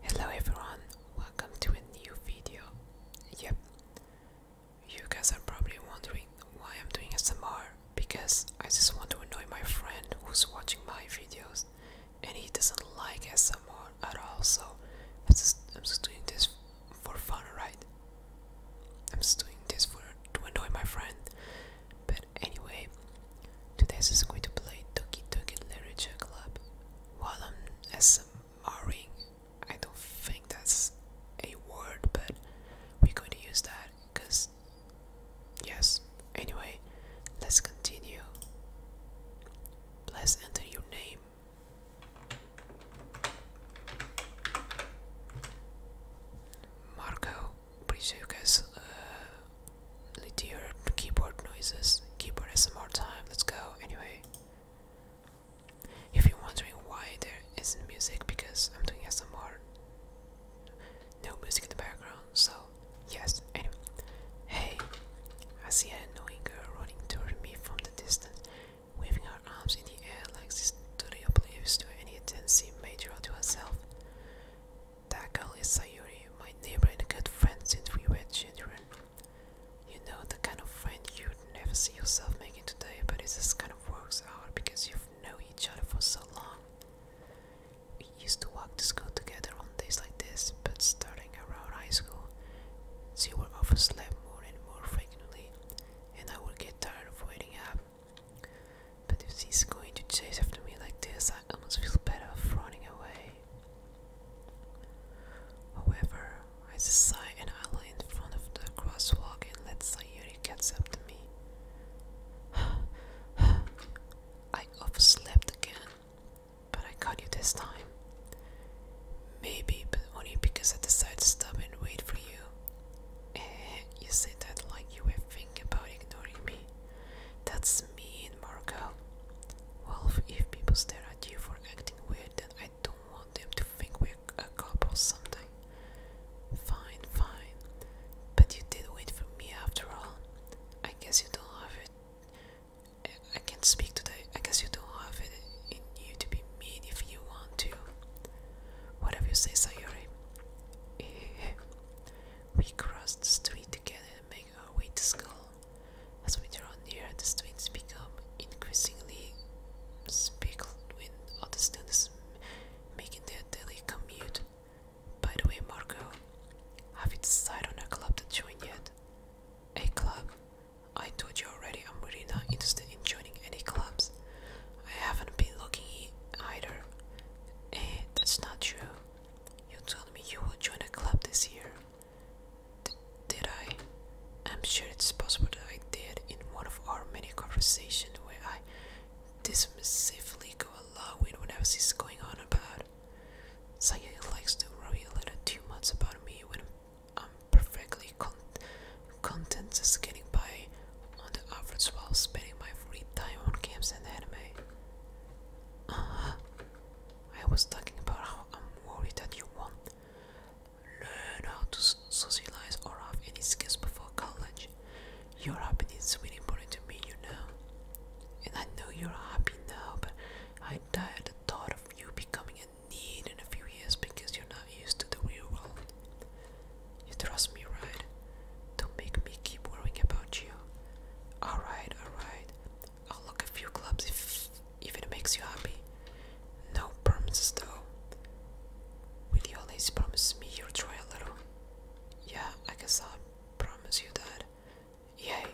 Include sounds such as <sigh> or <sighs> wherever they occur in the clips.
Hello everyone, welcome to a new video. Yep, you guys are probably wondering why I'm doing SMR because I just want to annoy my friend who's watching my videos and he doesn't like SMR at all so I'm just, I'm just doing this for fun, right? I'm just doing this for to annoy my friend but anyway Today is going to play Doki Doki Literature Club. While I'm SMRing, I don't think that's a word, but we're going to use that because, yes. Anyway, let's continue. Please enter your name. Marco, pretty you guys uh, Litear keyboard noises, keyboard SMR time, let's go. Anyway, if you're wondering why there isn't music, because I'm doing SMR, no music in the background, so yes, anyway. Hey, I see a annoying girl running toward me from the distance, waving her arms in the air like this totally oblivious to any attention major to herself. Taka is Sayuri, my neighbor and good friend since we were children. You know, the kind of friend you'd never see yourself making today, but it just kind of works out because you've known each other for so long. We used to walk to school together on days like this, but starting around high school, she would oversleep more and more frequently, and I would get tired of waiting up. But if she's going to chase after me like this, I almost feel better off running away. However, I sigh and I lay in front of the crosswalk and let Sayuri catch up to me. <sighs> I overslept again, but I caught you this time. Maybe, but only because I decided to stop and wait for you. Eh, you said that like you were thinking about ignoring me. That's doesn't Marco. Wolf, if people stare at you for acting weird, then I don't want them to think we're a couple or Fine, fine. But you did wait for me after all. I guess you don't have it. I can't speak today. I guess you don't have it in you to be mean if you want to. Whatever you say, Sayuri. <laughs> We crossed the street together our way to school. As we draw near, the students become increasingly speckled with other students making their daily commute. By the way, Marco, have you decided on a club to join yet? A club? I told you already I'm really not interested in joining any clubs. I haven't been looking either. Eh, that's not true. You told me you will join a club this year. did I? I'm sure it's possible that I did in one of our many conversations where I dismissively go along with whatever she's going on about. Saya likes to worry a little too much about me when I'm perfectly content just getting by on the average while spending my free time on games and anime. Uh-huh. I was talking about how I'm worried that you won't learn how to socialize or have any skills before college. Your happiness is really important to me, you know. And I know you're happy now, but I die at the thought of you becoming a need in a few years because you're not used to the real world. You trust me, right? Don't make me keep worrying about you. Alright, alright. I'll look a few clubs if if it makes you happy. No promises though. Will you always promise me you'll try a little? Yeah, I guess I'll promise you that. Yay!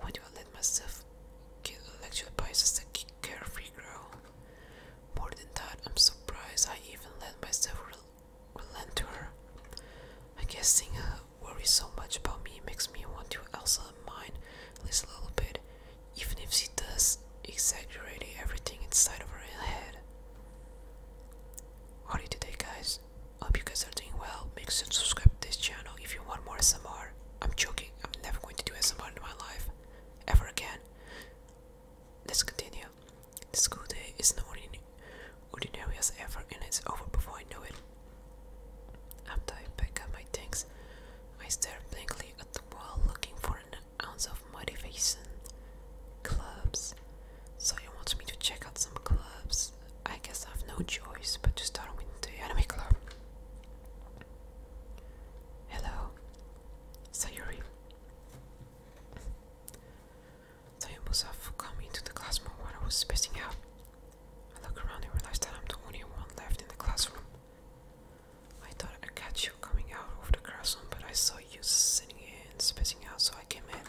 Why do I let myself get lectured by such a carefree girl? More than that, I'm surprised I even let myself relent to her. I guess seeing her worry so much about me makes me want to also mine at least a little bit, even if she does exaggerate everything inside of her head. Howdy today guys, hope you guys are doing well, make sure to subscribe to this channel if you want more SMR. am joking, I'm never going to do SMR in my life, ever again. Let's continue. The school day is no ordinary as ever, and it's over before I know it. After I pack up my things, I stare blankly at the wall looking for an ounce of motivation. Clubs. So you want me to check out some clubs? I guess I have no choice but to start with the anime club. Hello, Sayuri. Tayyip Musaf come into the classroom while I was spacing out. I look around and realize that I'm the only one left in the classroom. I thought I'd catch you coming out of the classroom, but I saw you sitting here and spacing out, so I came in.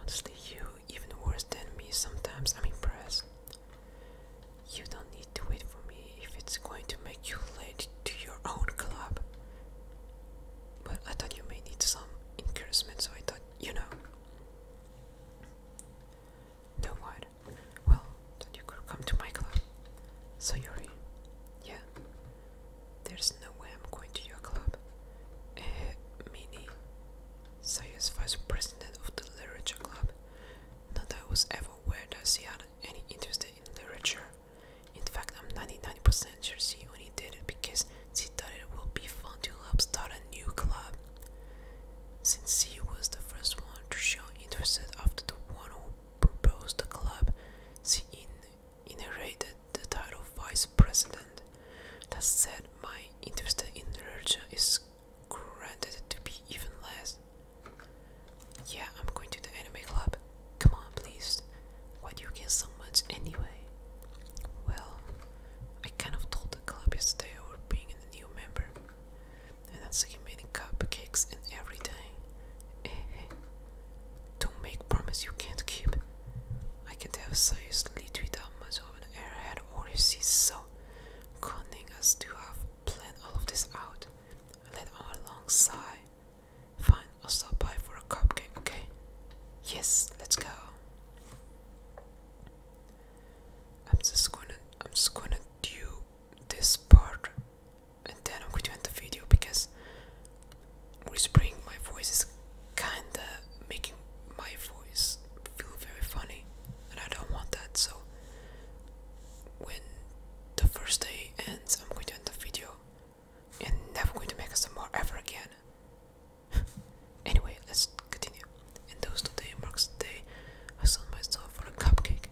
Honestly, you even worse than me sometimes. I'm impressed. You don't need to wait for me if it's going to make you late to your own club. But I thought you may need some encouragement, so I thought, you know. No what? Well, then you could come to my club. So you're in? Yeah. There's no way I'm going to your club. Eh, uh, Minnie. Saya's vice president of the literature club. Not that I was ever aware that she had any interest in literature. In fact, I'm 99% sure she only did it because she thought it would be fun to help start a new club. Since she was the first one to show interest after the one who proposed the club, she in inherited the title vice president. That said, my interest in the literature is granted to be even less. Yeah, I'm going to the anime club. Come on, please. Why do you get so much anyway? Well, I kind of told the club yesterday I would bring a new member. And that's the like many cupcakes and everything. <laughs> Don't make promises you can't keep. I can't have seriously without much of an airhead or you see so cunning as to have planned all of this out. I let out long sigh. Fine, I'll stop by for a cupcake, okay? Yes, let's go. I'm just gonna I'm just gonna do this part and then I'm going to end the video because whispering my voice is kinda making my voice feel very funny and I don't want that so when the first day ends I'm going to end the video and never going to make us more ever again. <laughs> anyway, let's continue. And those two days marks the day I sold myself for a cupcake.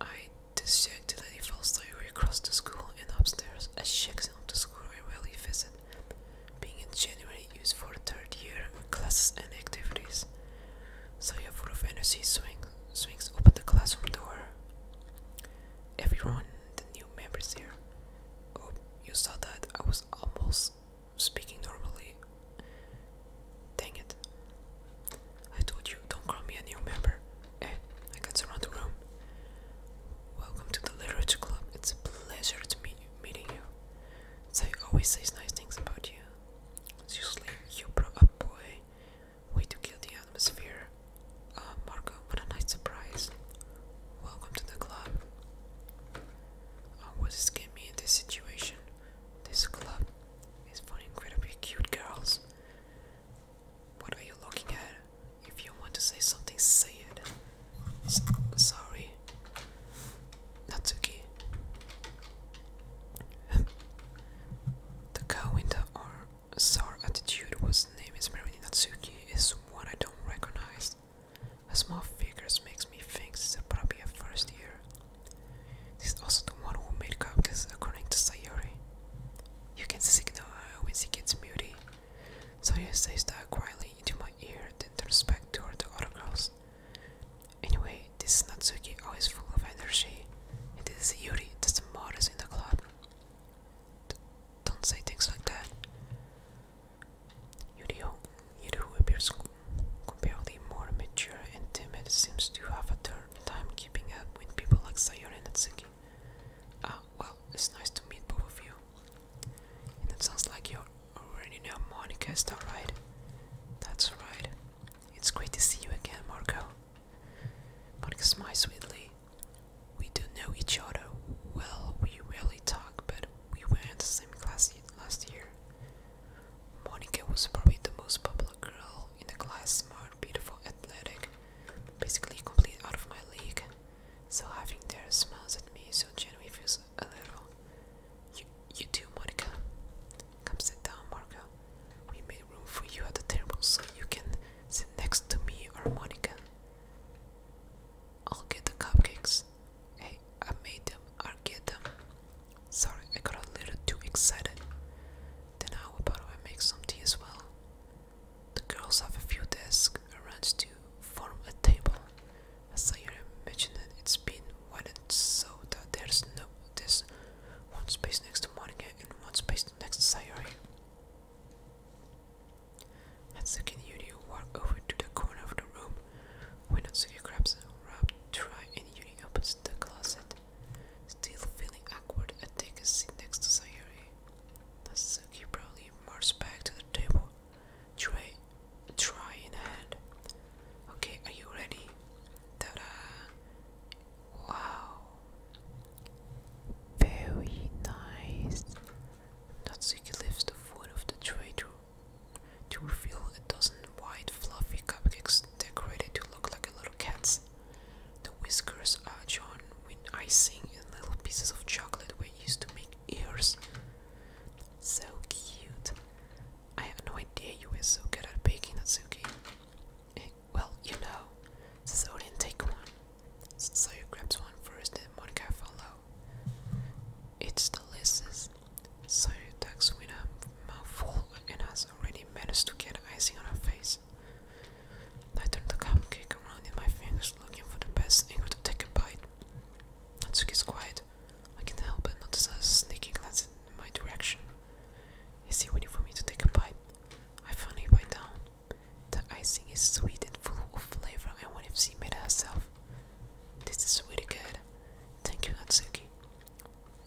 I to let dejectedly fell sideways across the school and upstairs, I a him of the school I rarely visit, being in January used for the third year classes and activities. So, full of energy swing, swings open the classroom door everyone, the new members here. Oh, you saw that I was almost speaking normally. Dang it. I told you, don't call me a new member. Hey, eh, I got to run the room. Welcome to the Literature Club. It's a pleasure to meet you, meeting you. Zai always says nice things about you. Seriously, you brought a boy Way to kill the atmosphere. Uh, Marco, what a nice surprise. Welcome to the club. Oh, what is getting me in this situation? This club is for incredibly cute girls. What are you looking at? If you want to say something, say it. S sorry. Natsuki. <laughs> the car window or Tsar attitude whose name is Marini Natsuki is one I don't recognize. A small figures makes me think this probably a first year. This is also the one who made cupcakes according to Sayori. You can signal uh, when she gets moody. Sayori says that quietly into my ear then turns back toward the other girls. Anyway, this Natsuki always full of energy. It is Yuri that's the modest in the club. don't say things like that. Yuri, Yuri who appears comparatively more mature and timid, seems to have a tough time keeping up with people like Sayori and Natsuki. Ah, well, it's nice to meet both of you. And it sounds like you already know Monica, is that right? That's alright. It's great to see you again, Marco. Monica smiled sweetly. We do know each other. Well, we rarely talk, but we were in the same class last year. Monica was probably the most popular girl in the class, smart, beautiful, athletic, basically complete out of my league. So having their smiles at me so genuinely feels a little. You, you too, Monica. Come sit down, Marco. We made room for you at the table so you can sit next to me or I'll get the cupcakes. Hey, I made them. I'll get them. Sorry, I got a little too excited. Then how about I make some tea as well? The girls have a few desks around to form a table. As I imagine it, it's been widened so that there's no this one space next to Monica and one space next to Sayori. Natsuki and Yuri walk over to the corner of the room where Natsuki grabs a wrap to try and Yuri opens the closet. Still feeling awkward at taking a seat next to Sayori. Natsuki probably marches back to the table, tray, try in hand. Okay, are you ready? Ta-da! Wow. Very nice. Natsuki lifts the foot of the tray to, to reveal a dozen white fluffy cupcakes decorated to look like little cats. The whiskers are drawn with icing and little pieces of chocolate we used to make ears. So cute. I have no idea you were so good at baking, Natsuki. Well, you know, says Odin, take one. So you grab one first and one can follow. It's delicious. So you ducks with a mouthful and has already managed to get icing on her face. I turned the cupcake around in my fingers looking for the best angle to take a bite. Natsuki is quiet. I can't help but notice her sneaking glance my direction. Is he waiting for me to take a bite? I finally bite down. The icing is sweet and full of flavor I wouldn't have seen made herself. This is really good. Thank you, Natsuki.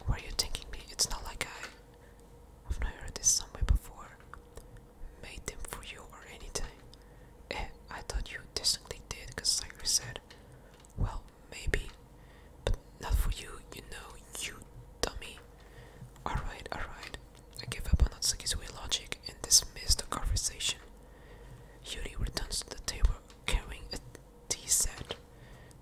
Were you thinking me? It's not like I... have never heard this somewhere before. Made them for you or anything. Eh, I thought you distinctly did, because like said. Well, maybe, but not for you, you know, you dummy. Alright, alright. I give up on Atsuki's weird logic and dismiss the conversation. Yuri returns to the table carrying a tea set.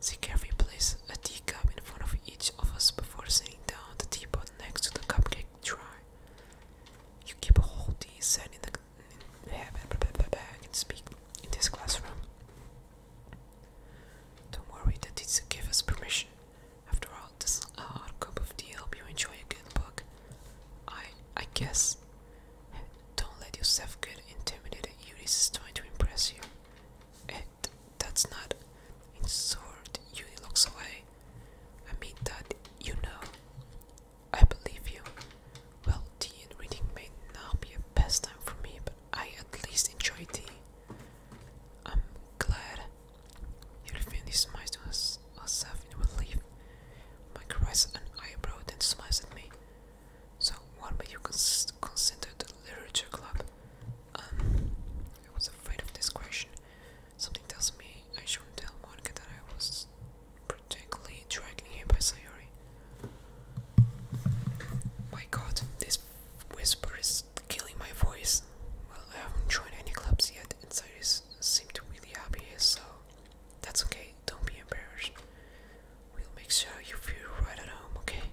She carefully places a teacup in front of each of us before setting down the teapot next to the cupcake tray. You keep a whole tea set in the in, blah, blah, blah, blah, blah, I can speak in this classroom. Don't worry, that the teacher gave us permission. After all, this is our cup of tea help you enjoy a good book. I I guess. Don't let yourself get intimidated. Eunice is trying to impress you. And eh, that's not insult. Uni looks away. I mean that you know. I believe you. Well, tea and reading may not be a best time for me, but I at least enjoy tea. I'm glad you find this smiles to us, herself in relief. Mike raised an eyebrow then smiles at me. So, what made you consider the literature club? Um, I was afraid of this question. Something tells me I shouldn't tell Monica that I was particularly dragging him by Sayori. My god, this whisper is killing my voice. Well, I haven't joined any clubs yet, and Cyrus seemed really happy, so that's okay, don't be embarrassed. We'll make sure you feel right at home, okay?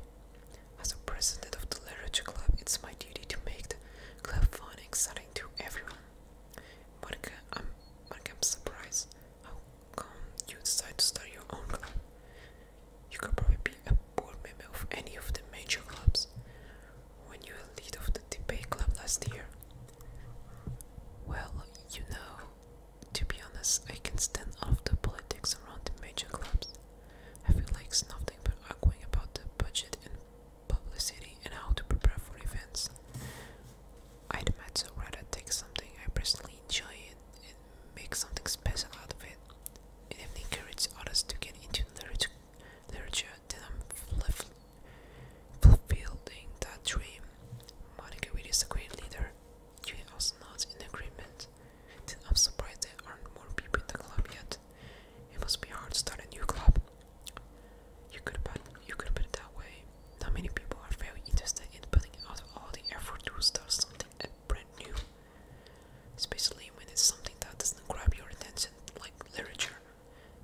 As a president of the literature club, it's my duty to make the club fun and exciting to everyone. Monica, I'm, Monica, I'm surprised how come you decide to start your own club. You could probably be a board member of any of the major clubs. When you were lead of the debate club last year. Well, you know, to be honest, I can stand off the politics around the major clubs. I feel like it's nothing but arguing about the budget and publicity and how to prepare for events. I'd much rather take something I personally enjoy make something special out of it. It even encourages others to get into literature, literature then I'm fulfilling that dream. Monica Witt is a great leader. Julian are not in agreement. Then I'm surprised there aren't more people in the club yet. It must be hard to start a new club. You could put you could put it that way. Not many people are very interested in putting out all the effort to start something at new, especially when it's something that doesn't grab your attention, like literature.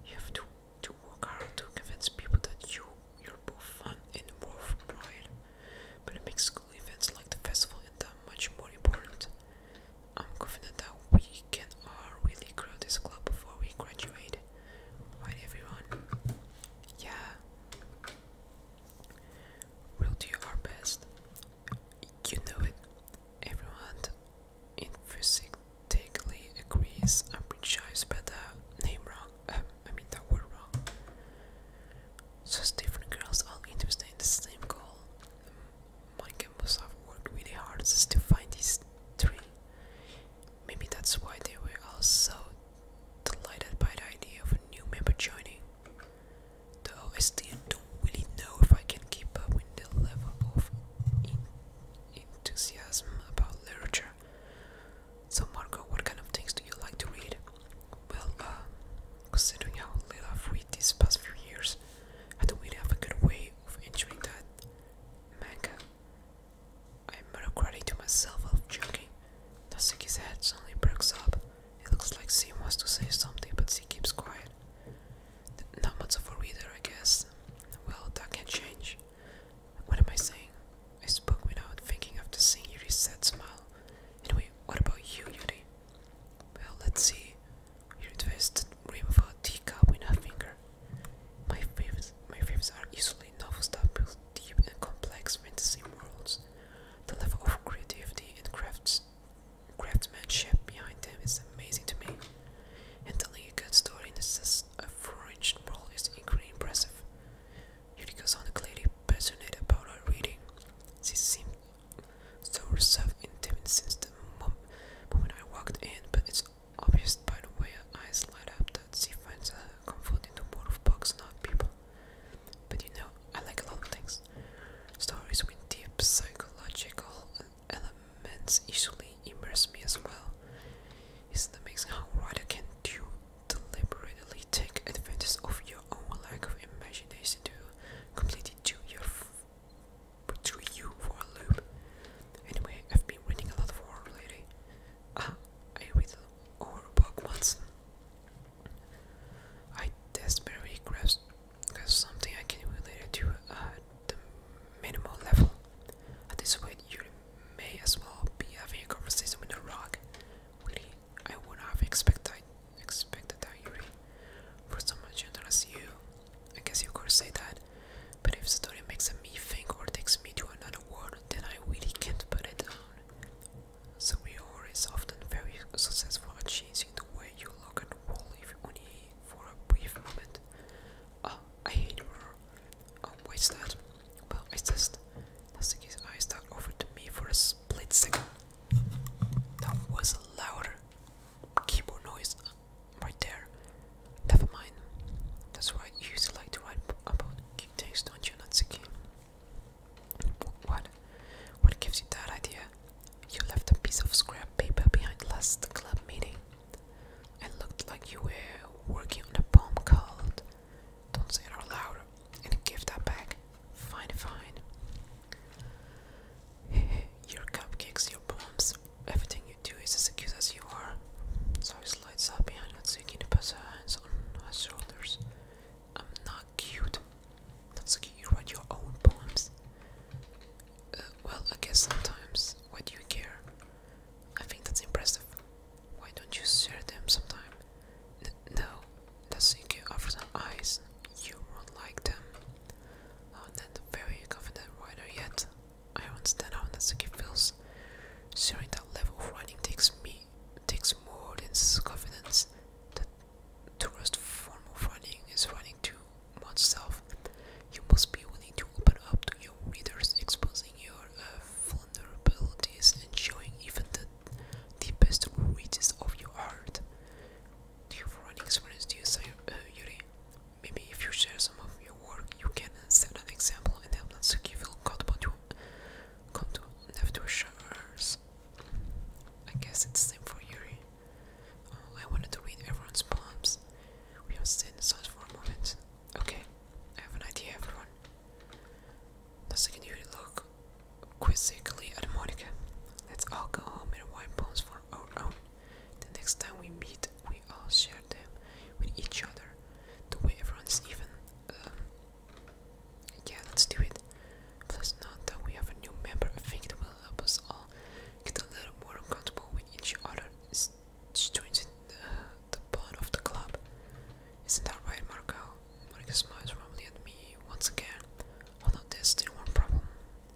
You have to to work hard to convince people that you you're both fun and worthwhile. But it makes school events like the festival and that much more important. I'm confident that we can all really grow this club before we graduate. Right, everyone? Yeah. We'll do our best. You know it. Everyone in physically agrees. I'm pretty sure I spelled the name wrong. Um, I mean that word wrong. So different girls all interested in the same goal. Mike and have worked really hard just to find these three. Maybe that's why they were all so delighted by the idea of a new member joining, though I still don't really know if I can keep up with the level of enthusiasm about literature. So, Marco, what kind of things do you like to read? Well, uh, considering how little I've read these past few years, I don't really have a good way of entering that manga. I'm not ready to myself of joking. Natsuki's head suddenly breaks up. It looks like she wants to say something, but she keeps quiet. Not much of a reader, I guess. Well, that can not change. What am I saying? I spoke without thinking of the Yuri's sad smile. Anyway, what about you, Yuri? Well, let's see. Yuri twisted the rim of a teacup with a finger. My faves, my faves are usually novels that build deep and complex fantasy worlds. The level of creativity and craftsmanship behind them is amazing to me. And telling a good story in this foreign world is incredibly impressive. Yuriko sounded clearly passionate about her reading. She seems so reserved and timid since the mom moment I walked in, but it's obvious by the way her eyes light up that she finds her comfort in the world of books, not people. But you know, I like a lot of things. Stories with deep psychological elements usually immerse me as well. It's amazing how a writer can do deliberately take advantage of your own lack of imagination to completely do your to you for a loop. Anyway, I've been reading a lot of horror lately. I uh, with all Pokemons. I desperately grasp something I can relate to at uh, the minimal level. At this point, you may as well be having a conversation with a rock. I would have expected expected that Yuri for someone gentle as you. I guess you could say that. But if the story makes me think or takes me to another world, then I really can't put it down. So we are is often very successful at changing the way you look at the world if only for a brief moment. Oh, I hate her. Oh, um, is that? Well, it's just Nothing his eyes that over to me for a split second. That was a louder keyboard noise right there. Never mind. That's why you used to like to write about things, don't you, Natsuki? What? What gives you that idea? You left a piece of scrap paper behind last club meeting. It looked like you were working on a poem called Don't Say It Out Loud and give that back. Fine, fine. <laughs> your cupcakes, your poems, everything you do is as accused as you are. So lights up behind Natsuki puts her hands on her shoulders. I'm not cute. Natsuki, you write your own poems. Uh, well, I guess sometimes. What do you care? I think that's impressive. Why don't you share them sometime? N no, Natsuki offers her eyes. You won't like them. I'm not a very confident writer yet. I understand how Natsuki feels. Sharing that level of writing takes me it takes more than confidence that to rest form of writing is writing to oneself. You must be willing to open up to your readers, exposing your uh, vulnerabilities and showing even the deepest reaches of your art. Do you have writing experience? Do you say, uh, Yuri? Maybe if you share some of your work, you can set an example and help us to feel comfortable to Contour after showers. I guess it's the same for Yuri. Oh, I wanted to read everyone's palms. We are still inside for a moment. Okay, I have an idea, everyone. The second Yuri look quizzically at Monica. Let's all go home and wipe palms for our own. The next time we meet, we all share them with each other. The way everyone's even. Um, yeah, let's do it. Plus, now that we have a new member, I think it will help us all get a little more comfortable with each other. It's strengthen the, the bond of the club. Isn't that right, Marco? Monica smiles warmly at me once again. Hold on, there's still one problem.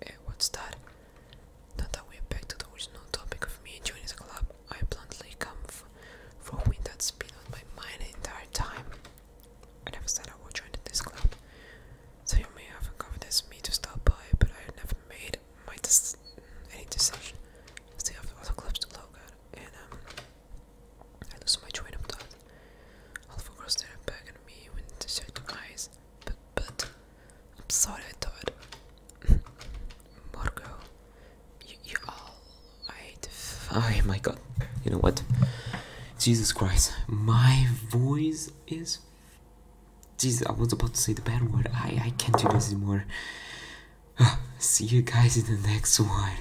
Hey, eh, what's that? Now that we're back to the original topic of me joining the club, I bluntly come from wind that's been on my mind the entire time. I never said I would join the club. So you may have convinced me to stop by, but I never made my any decision. I still the other clubs to look at, and um, I lose my train of thought. Alpha girl stared back at me to with certain eyes. But, but, I'm sorry I thought. <laughs> Margot, you, you all right? Oh my God! You know what? Jesus Christ! My voice is. Jesus, I was about to say the bad word. I I can't do this anymore. Ah, see you guys in the next one.